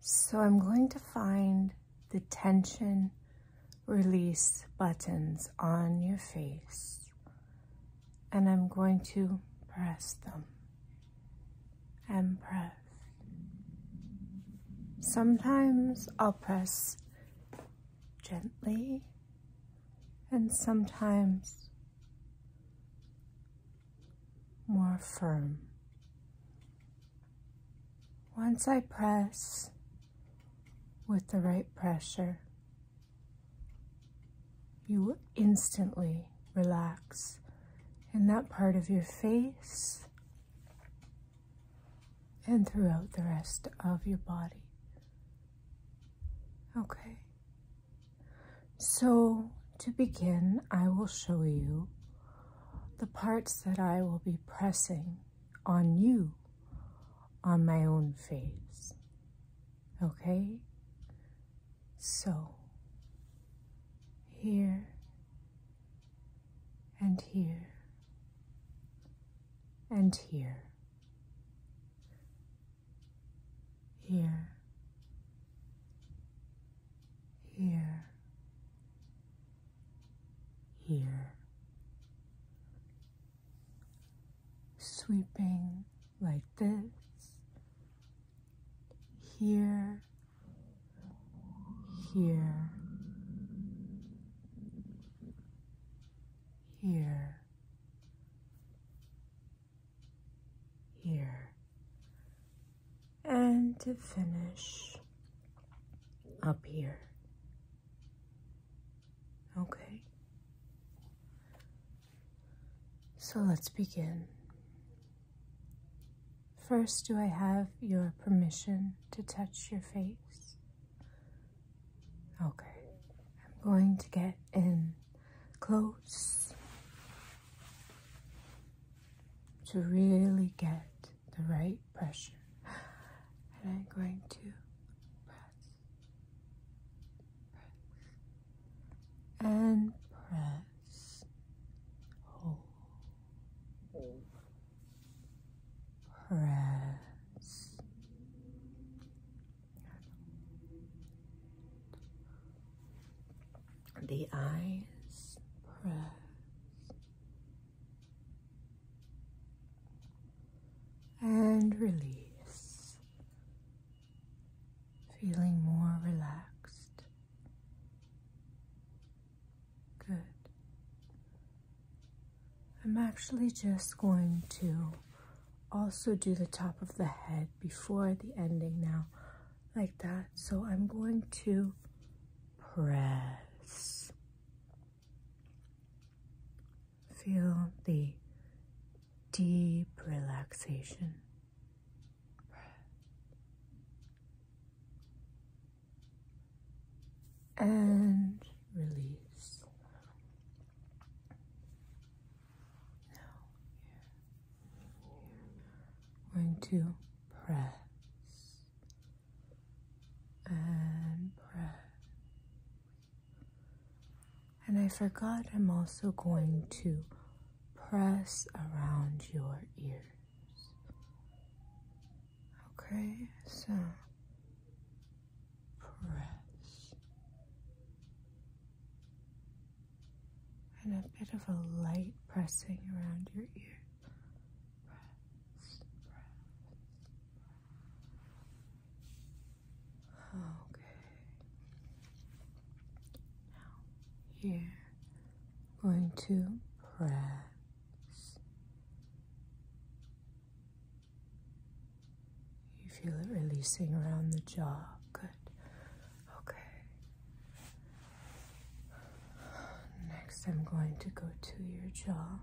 So I'm going to find the tension release buttons on your face and I'm going to press them and press. Sometimes I'll press gently and sometimes more firm. Once I press with the right pressure, you will instantly relax in that part of your face and throughout the rest of your body. Okay. So to begin, I will show you the parts that I will be pressing on you on my own face. Okay? So, here and here and here here, here, here, sweeping like this, here, here, here, here. And to finish up here. Okay. So let's begin. First, do I have your permission to touch your face? Okay. I'm going to get and close to really get the right pressure. And I'm going to press, press, and press, hold, press, the eyes press. And release, feeling more relaxed. Good. I'm actually just going to also do the top of the head before the ending now like that so i'm going to press feel the deep relaxation and release now here, are going to press and press. And I forgot I'm also going to press around your ears. Okay, so press, and a bit of a light pressing around your ear. Press, Okay. Now, here, I'm going to press. You feel it releasing around the jaw. Good. Okay. Next, I'm going to go to your jaw,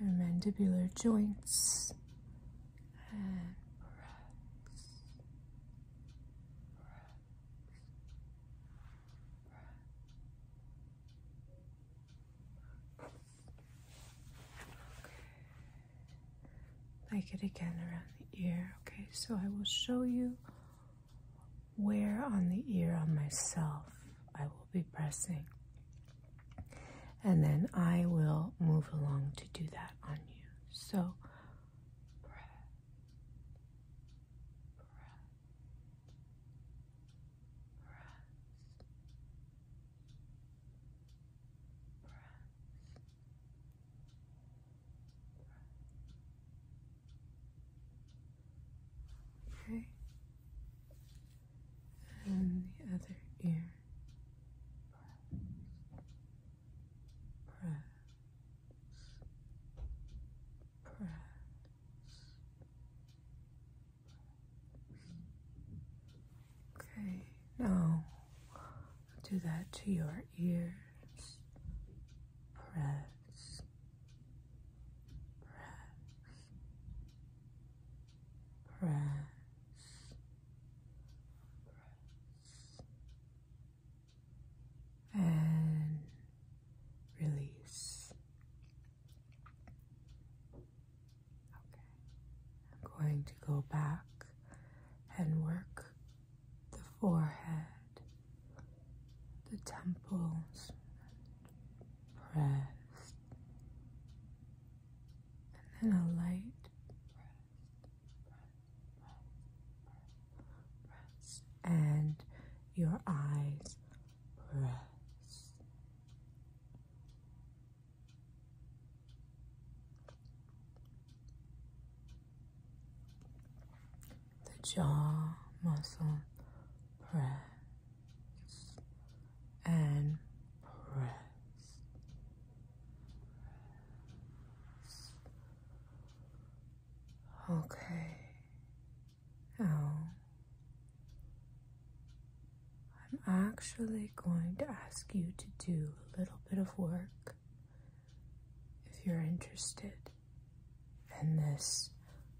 your mandibular joints, and breaths. breaths. breaths. Like it again around the ear. Okay, so I will show you where on the ear on myself I will be pressing. And then I will move along to do that on you. So, breath, breath, press. Okay. And the other ear. Press. Press. Press. Okay, now do that to your ears. Press, press, press. and release Okay, I'm going to go back and work the forehead, the temples, press, and then a light press, and your eyes press. The jaw muscle press and press. Okay. Now, oh. I'm actually going to ask you to do a little bit of work if you're interested, and this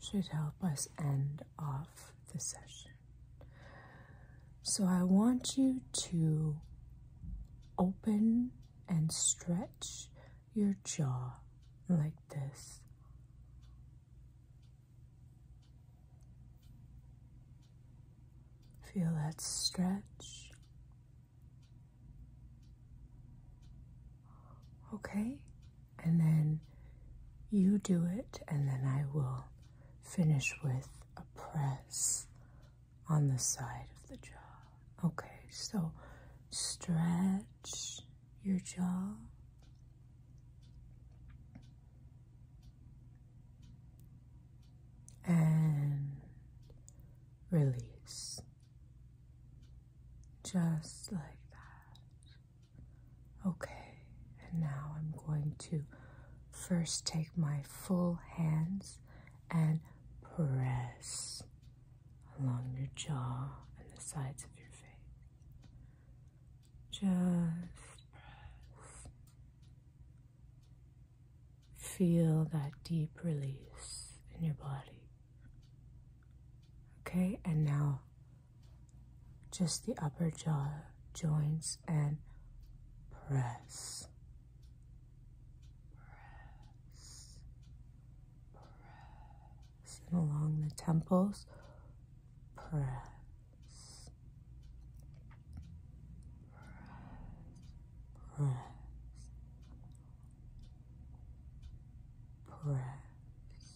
should help us end off the session. So, I want you to open and stretch your jaw like this. Feel that stretch. Okay, and then you do it, and then I will finish with a press on the side of the jaw. Okay, so stretch your jaw. And release just like that. Okay, and now I'm going to first take my full hands and press along your jaw and the sides of your face. Just press. Feel that deep release in your body. Okay, and now just the upper jaw joints and press. Press press. along the temples, press. Press. Press. Press.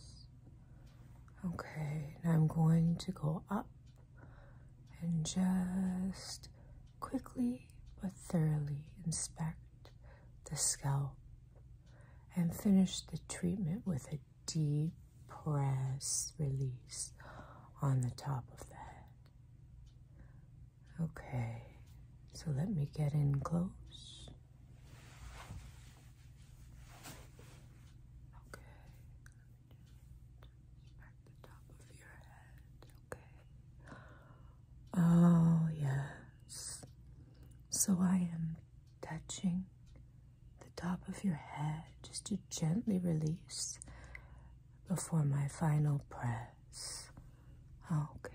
Okay, now I'm going to go up and just quickly but thoroughly inspect the scalp and finish the treatment with a deep press release on the top of the head. Okay, so let me get in close. Okay, let the top of your head. Okay, Oh, yes. So I am touching the top of your head just to gently release before my final press. Okay.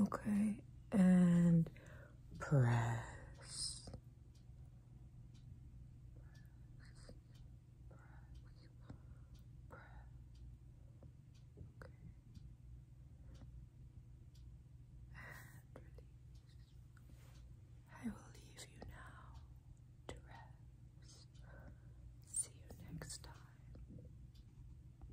Okay, and press. I will leave you now to rest. See you next time.